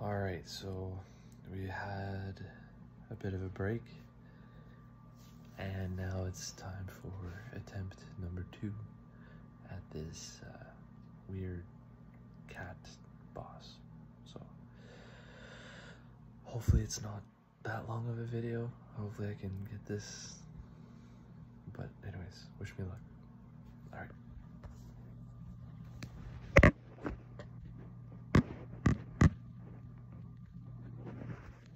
All right, so we had a bit of a break and now it's time for attempt number two at this uh, weird cat boss. So hopefully it's not that long of a video. Hopefully I can get this. But anyways, wish me luck. All right. Okay. Okay, let's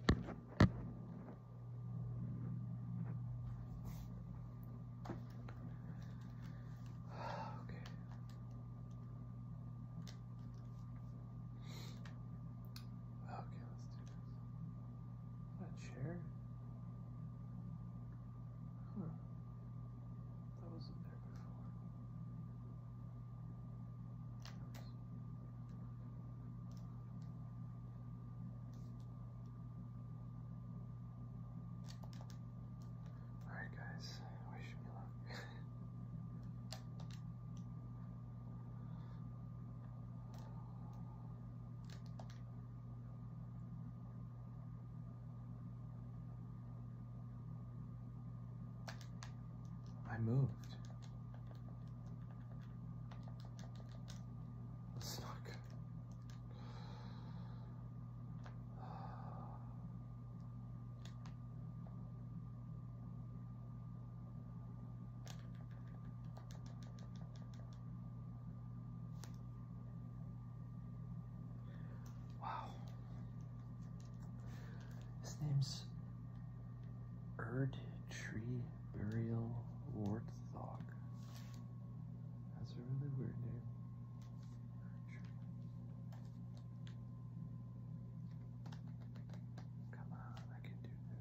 do That chair. Hmm. That wasn't there before. Alright guys, wish me luck. I moved. That's Wow. His name's Erd Tree Burial Warthog. That's a really weird name. Come on, I can do this.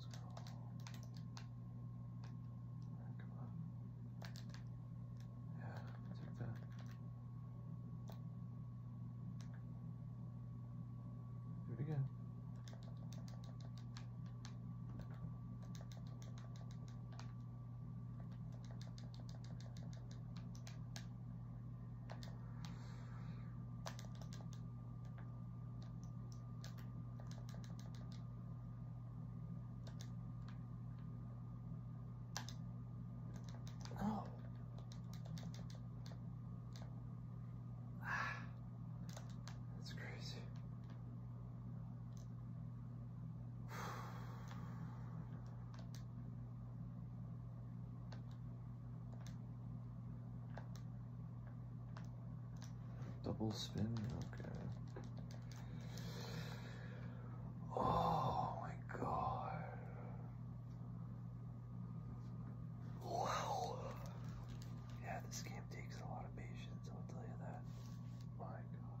Scroll. Right, come on. Yeah, take that. Do it again. No. Ah, that's crazy. Double spin, okay. Oh my god. Wow. Yeah, this game takes a lot of patience, I'll tell you that. My god.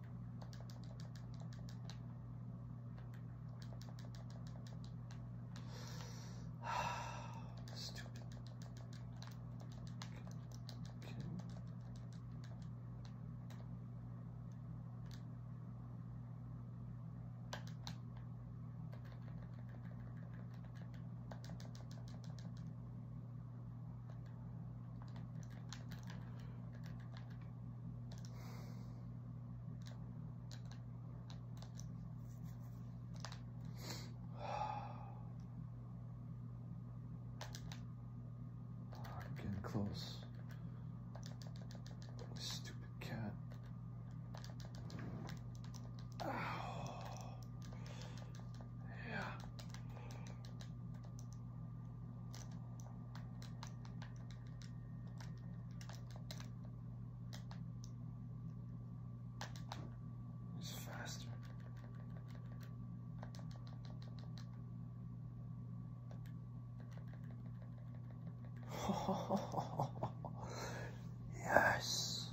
Stupid. Okay. getting close. Stupid cat. Yeah. It's faster. yes.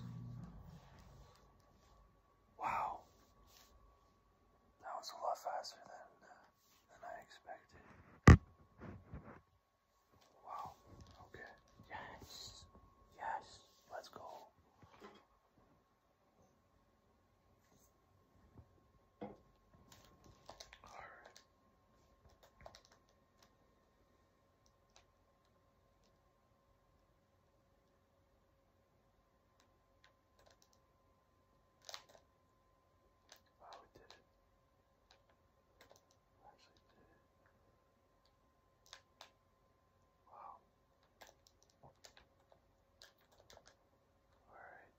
Wow. That was a lot faster than. Uh, than I expected. Wow. Okay. Yes. Yes. Let's go. All right. Wow, oh, we did it. We actually did it. Wow. Alright.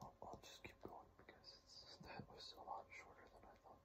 I'll, I'll just keep going because that was a lot shorter than I thought.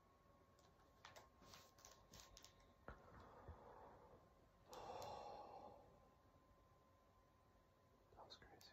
That was crazy.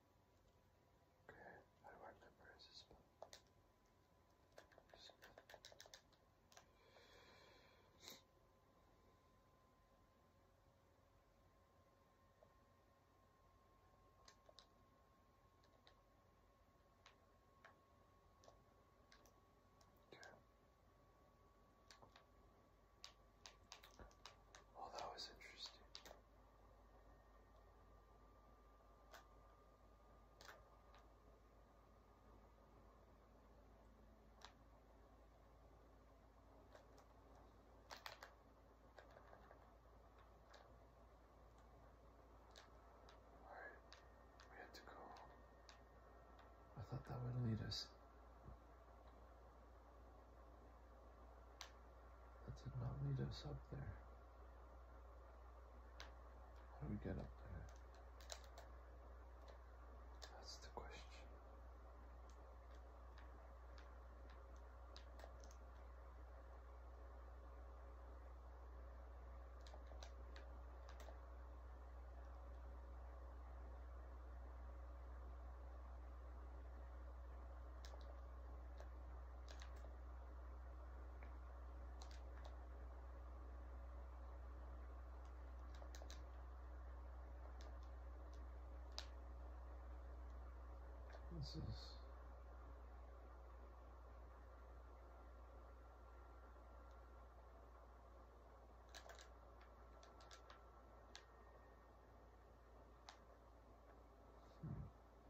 I don't remember his spell. Okay. Well, that was interesting. Alright, we had to go. I thought that would lead us that did not lead us up there. How do we get up there? That's the question. This is hmm.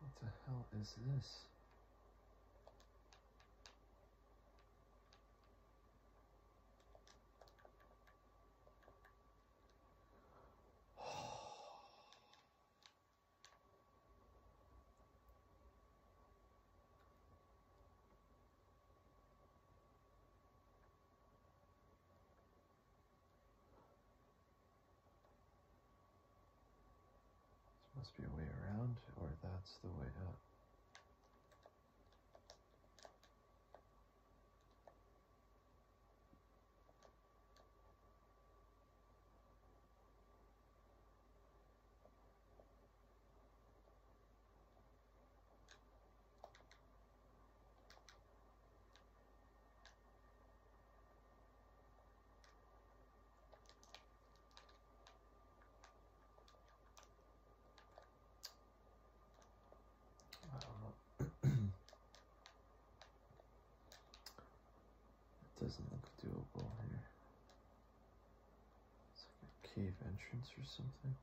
What the hell is this? This must be a way around, or that's the way up. It doesn't look doable here. It's like a cave entrance or something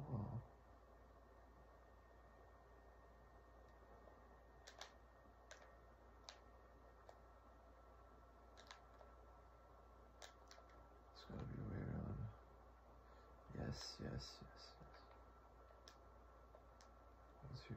Oh. It's gotta Yes, yes, yes, yes. What's here?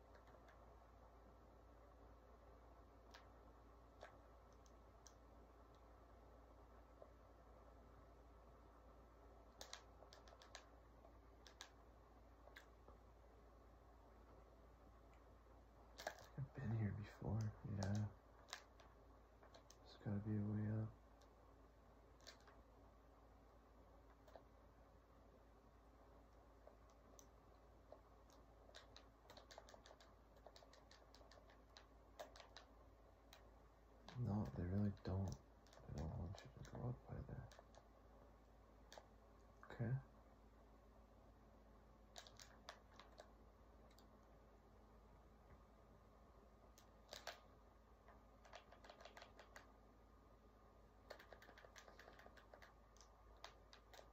I've been here before, yeah. it has gotta be a way up. No, they really don't. I don't want you to go up by there. Okay.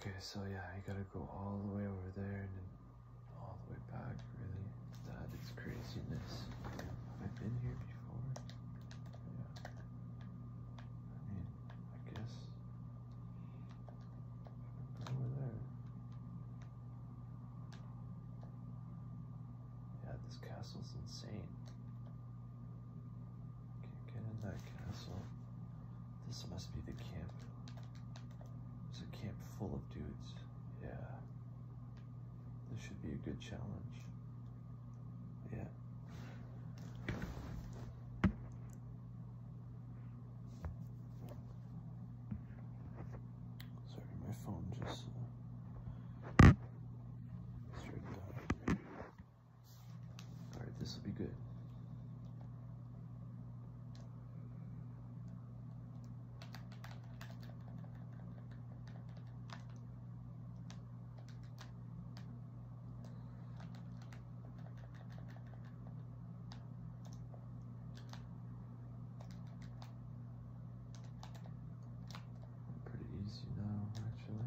Okay, so yeah, you gotta go all the way over there and then all the way back, really. That is craziness. i Have been here before? Yeah. I mean, I guess. over there. Yeah, this castle's insane. Can't get in that castle. This must be the camp. It's a camp full of dudes. Yeah. This should be a good challenge. Yeah. Sorry, my phone just uh, all right, this will be good. Pretty easy now, actually.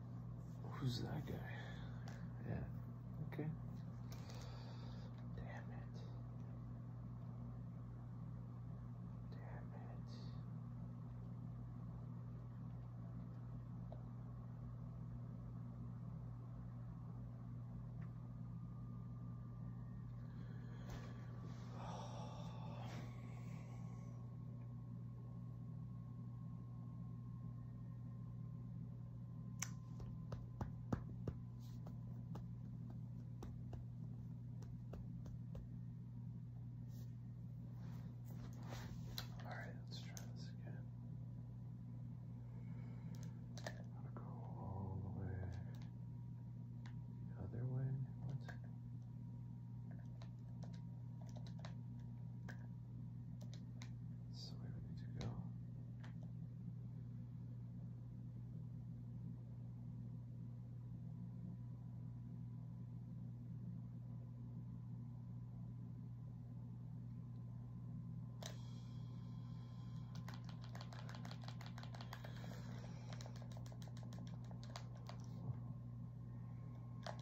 Who's that guy? Yeah. Okay. Damn it. Damn it. All right, let's try this again. I'm go all the way other way. What? This is where we need to go.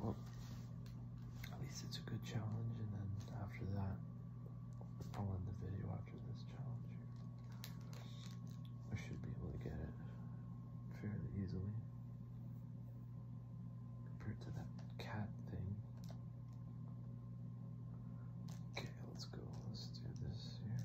Well, at least it's a good challenge, and then after that, I'll end the video after this challenge. I should be able to get it fairly easily compared to that cat thing. Okay, let's go. Let's do this here.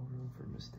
No room for mistakes.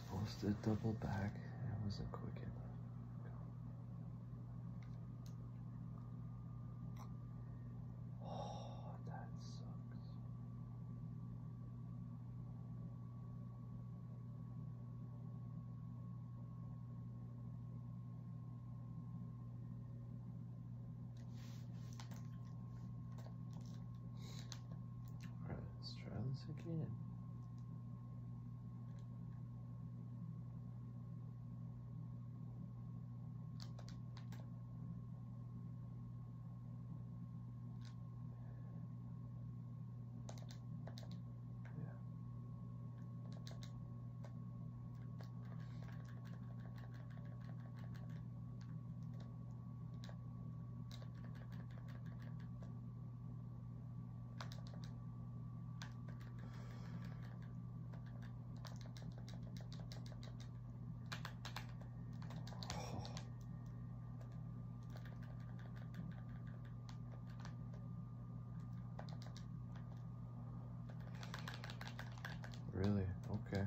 supposed to double back. It was not quick enough. Oh, that sucks. All right, let's try this again. Really? Okay.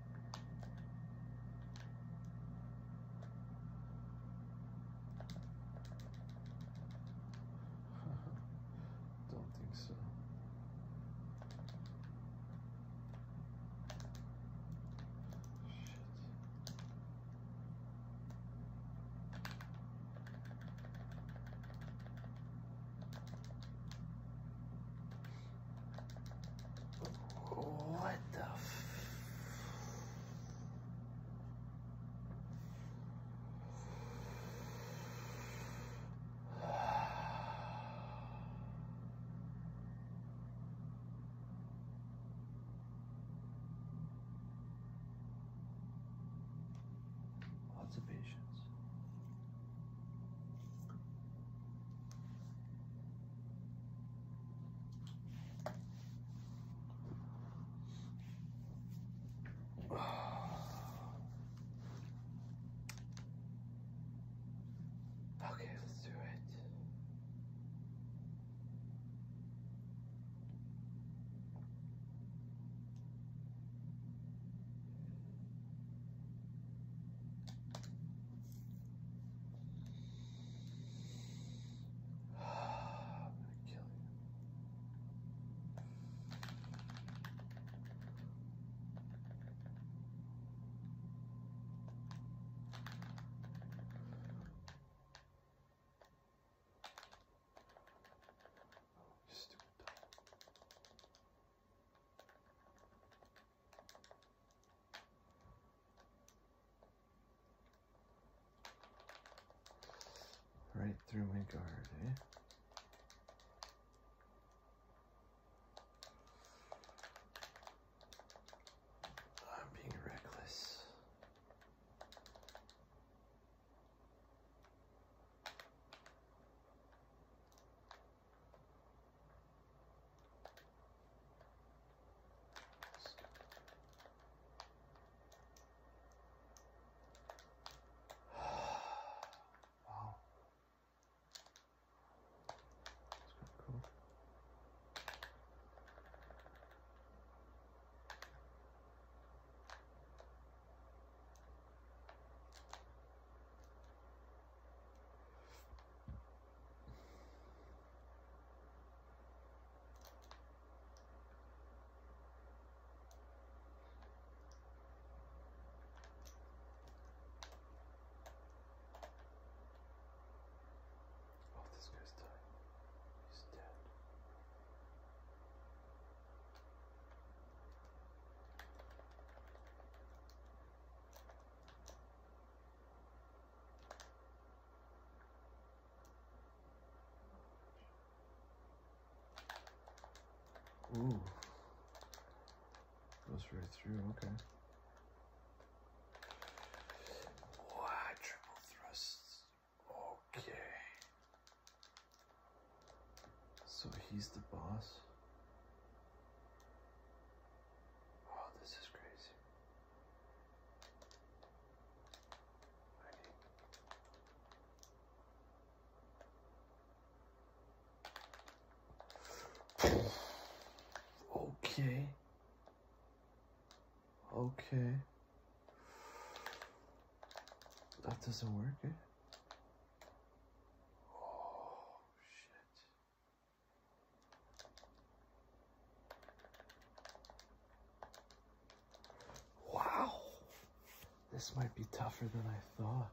Don't think so. What the Lots of patience. Okay, let's do it. I'm gonna kill you. stupid Right through my guard, eh? I'm being reckless wow. That's kind of cool. Oh, this guy's dying. He's dead. Ooh. Goes right through, okay. Wow, triple thrusts. Okay. So he's the boss. Oh, this is crazy. Okay. Okay. That doesn't work, eh? Oh, shit. Wow, this might be tougher than I thought.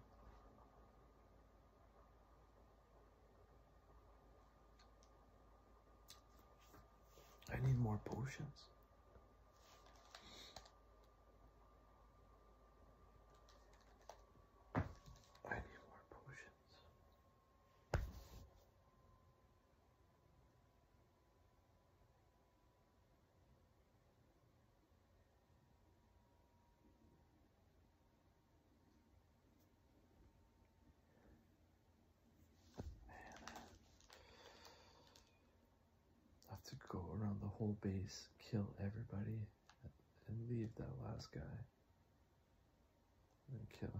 I need more potions. I need more potions have to go around the whole base, kill everybody, and leave that last guy and kill him.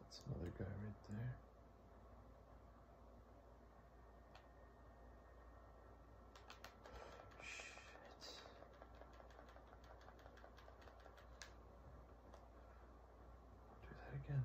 That's another guy right there. Shit. Do that again.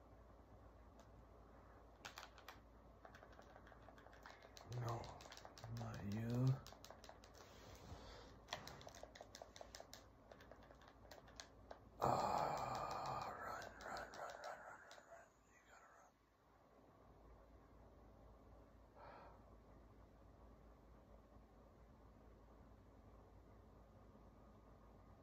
No, not you. Ah, run, run, run, run, run, run, run. You gotta run.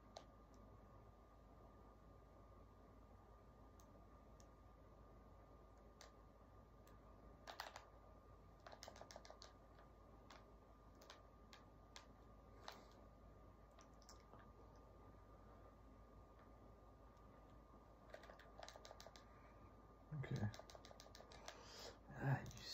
Okay. Ah, you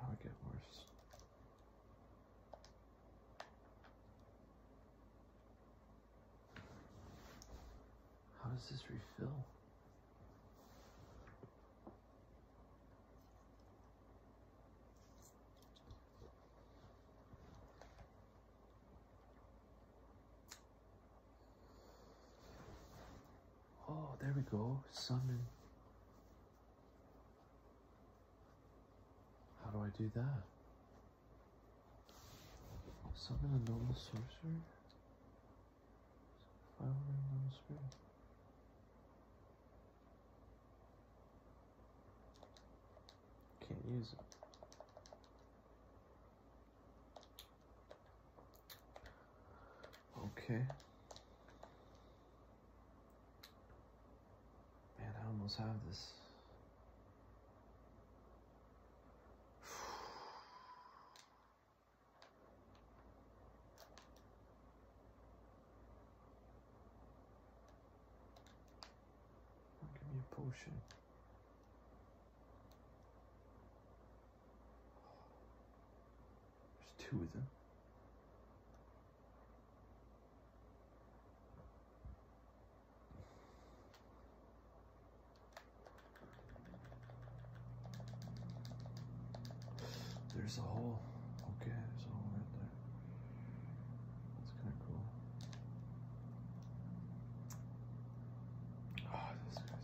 how do get worse? How does this refill? Oh, there we go. Summon. How do I do that? Summon a normal sorcerer? Fire ring normal spirit. Can't use it. Okay. Man, I almost have this. Give me a potion. There's two of them. There's a hole. Okay, there's a hole right there. That's kind of cool. Oh, this guy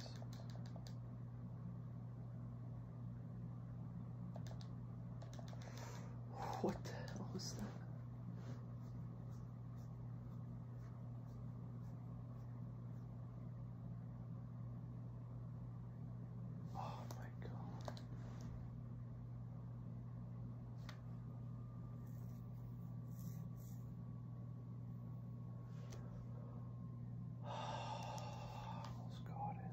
what the hell was that? Oh my god. almost got it.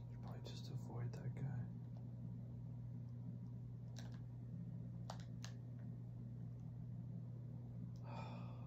probably just avoid that guy.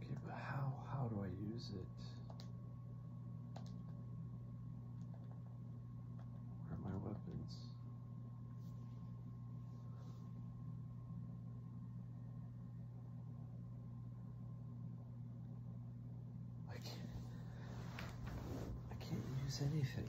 Okay, but how how do I use it? Where are my weapons? I can't I can't use anything.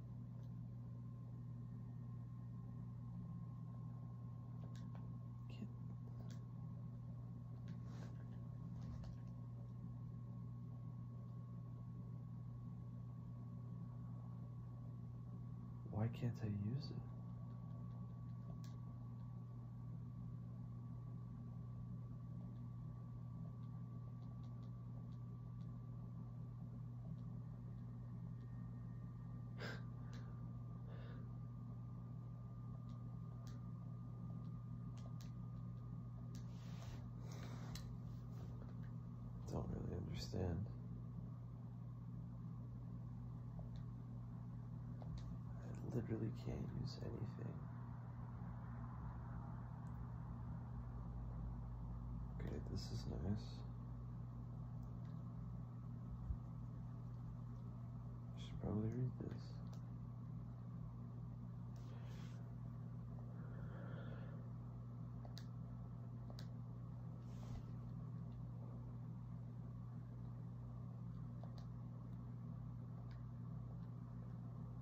Why can't I use it? Don't really understand. I literally can't use anything. Okay, this is nice. I should probably read this.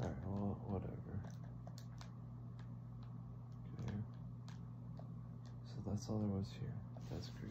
Alright, well, whatever. Okay. So that's all there was here. That's great.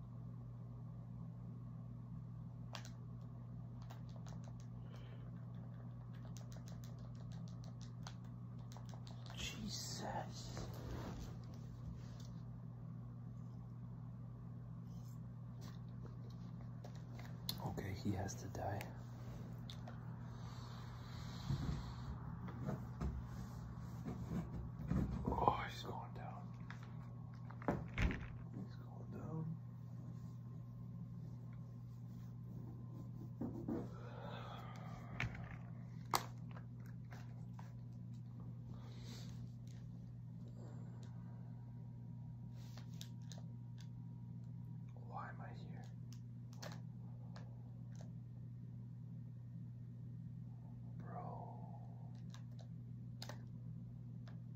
Jesus. Okay, he has to die. Oh, he's going down down. Why am I here? Bro,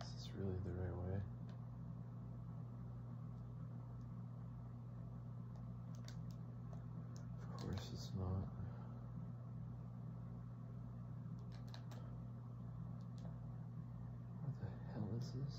This is really the right way. Of course it's not. What the hell is this?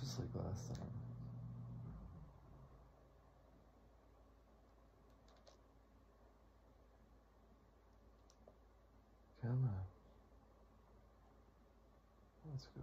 Just like last time. Come on. Let's go.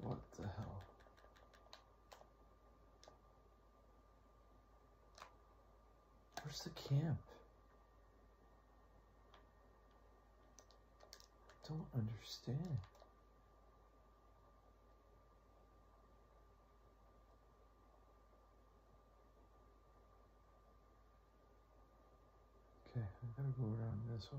What the hell? Where's the camp? I Don't understand. Okay, I gotta go around this way.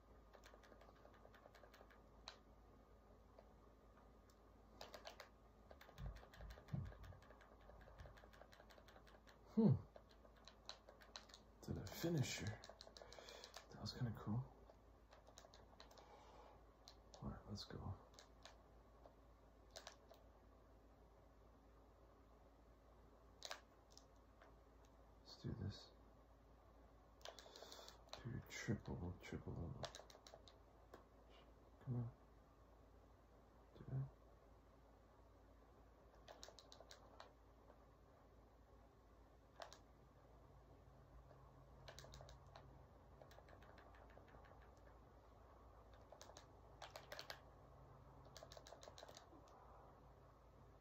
Hmm. To the finisher. That was kind of cool. All right, let's go. Let's do this. Do triple, triple Come on. Do it.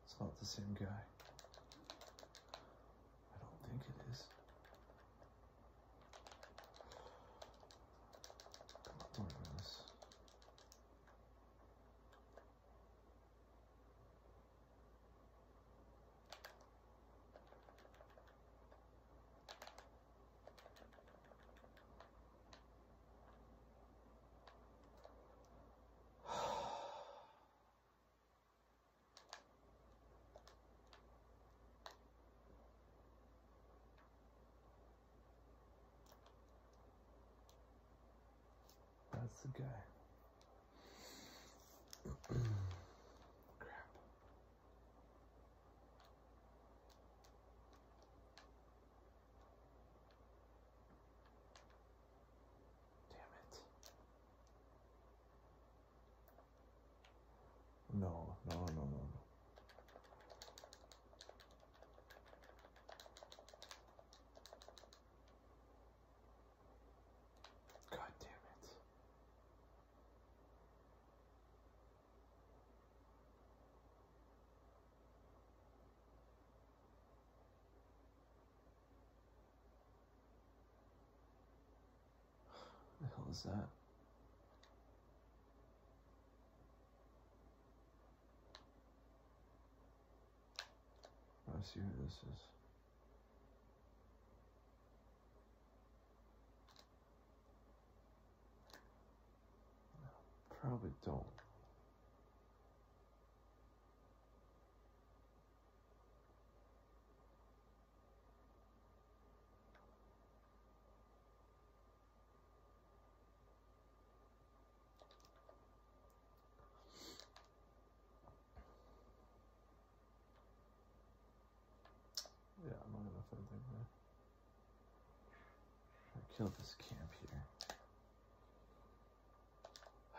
It's not the same guy. I don't think it is. Come on, don't ruin that's the guy. Crap. Damn it. No, no, no, no, no. God damn it. The hell is that? I see who this is. Probably don't. Yeah, I'm not gonna enough anything there. I killed this camp here.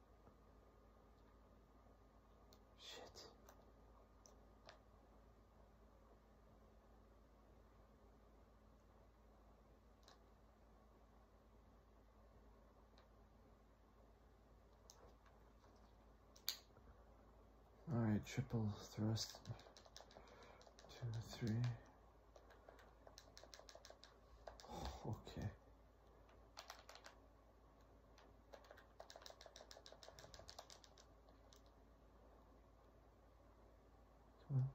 Shit. All right, triple thrust. Two, three. okay. Twelve.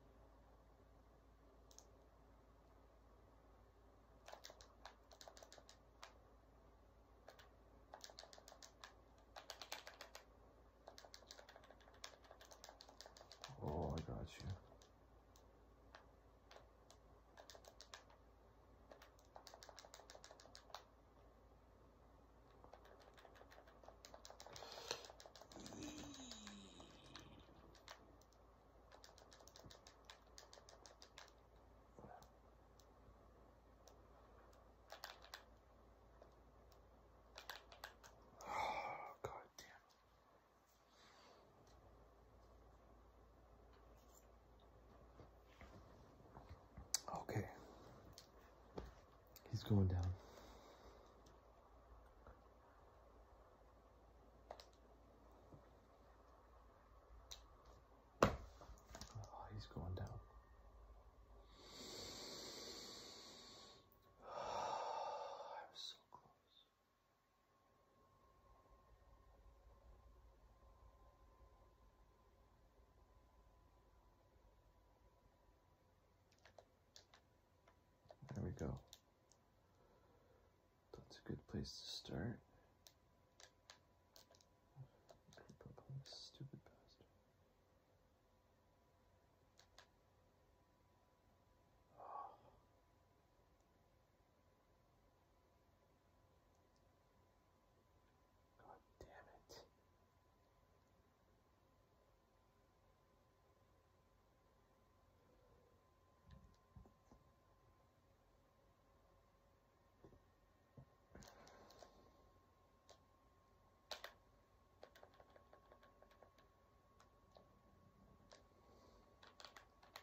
Oh, I got you. Oh, God damn. Okay. He's going down. Oh, he's going down. I'm so close. There we go. That's a good place to start. Stupid bastard. God damn it.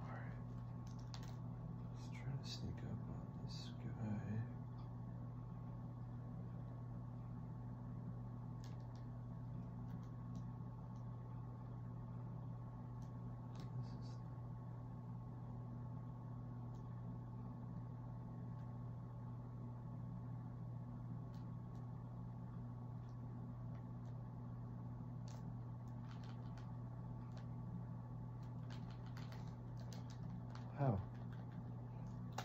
All right, let's try to sneak up on this guy. This is how? Yeah.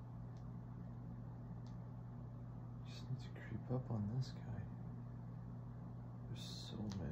Just need to creep up on this guy. There's so many.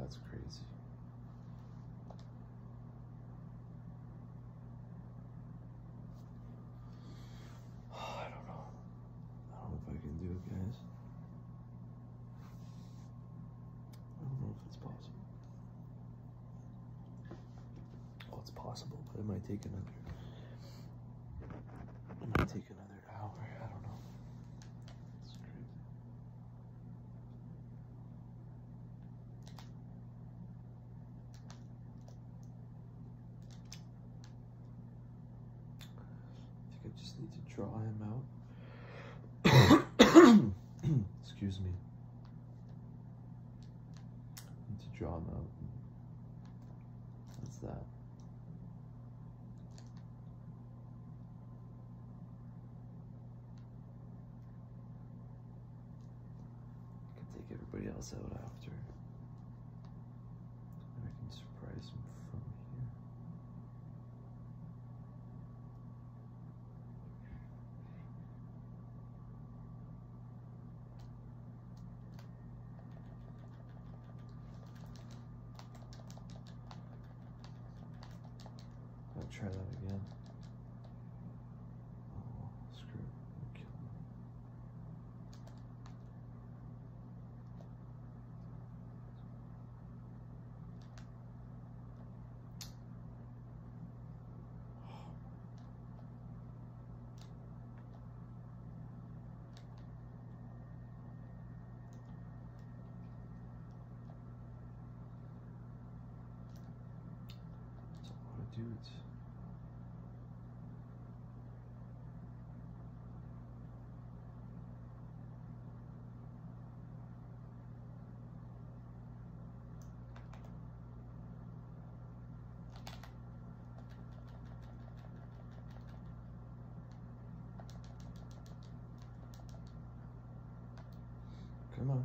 That's crazy. I don't know. I don't know if I can do it, guys. I don't know if it's possible. Well, it's possible, but it might take another. It might take another hour. I don't know. I think I just need to draw him out. Excuse me. Need to draw him out. What's that. I can take everybody else out after. And I can surprise them from here. I'll try that again. Oh, screw that's a lot of dudes. Come on.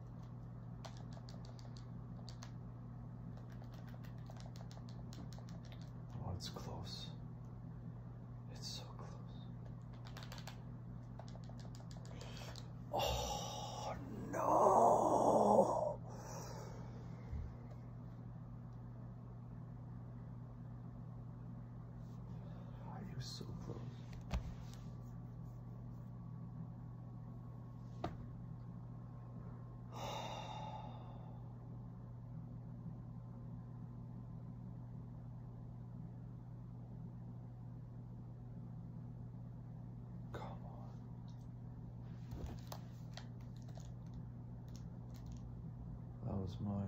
Oh, it's close. It's so close. Oh, no. Are you so close? That was mine.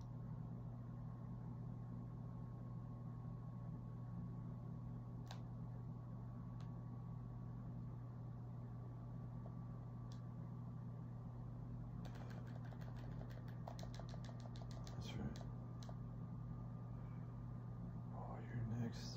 That's right. Oh, you're next.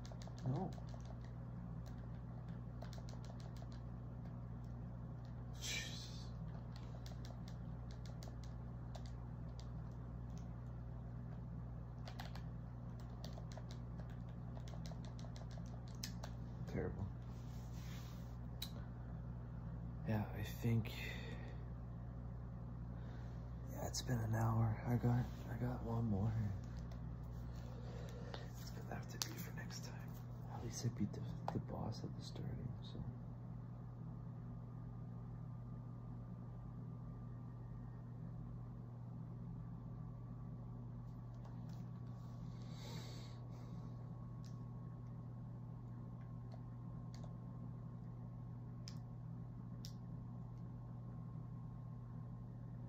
No. Jesus. Terrible. Yeah, I think yeah, it's been an hour. I got I got one more. It's gonna have to be for next time. At least I beat the, the boss at the starting, so.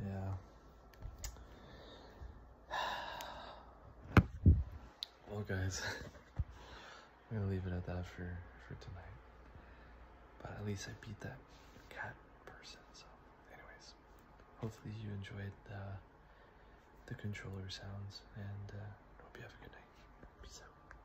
Yeah. Well, guys, I'm gonna leave it at that for, for tonight. But at least I beat that cat person, so anyways. Hopefully you enjoyed the, the controller sounds, and uh, hope you have a good night. Peace out.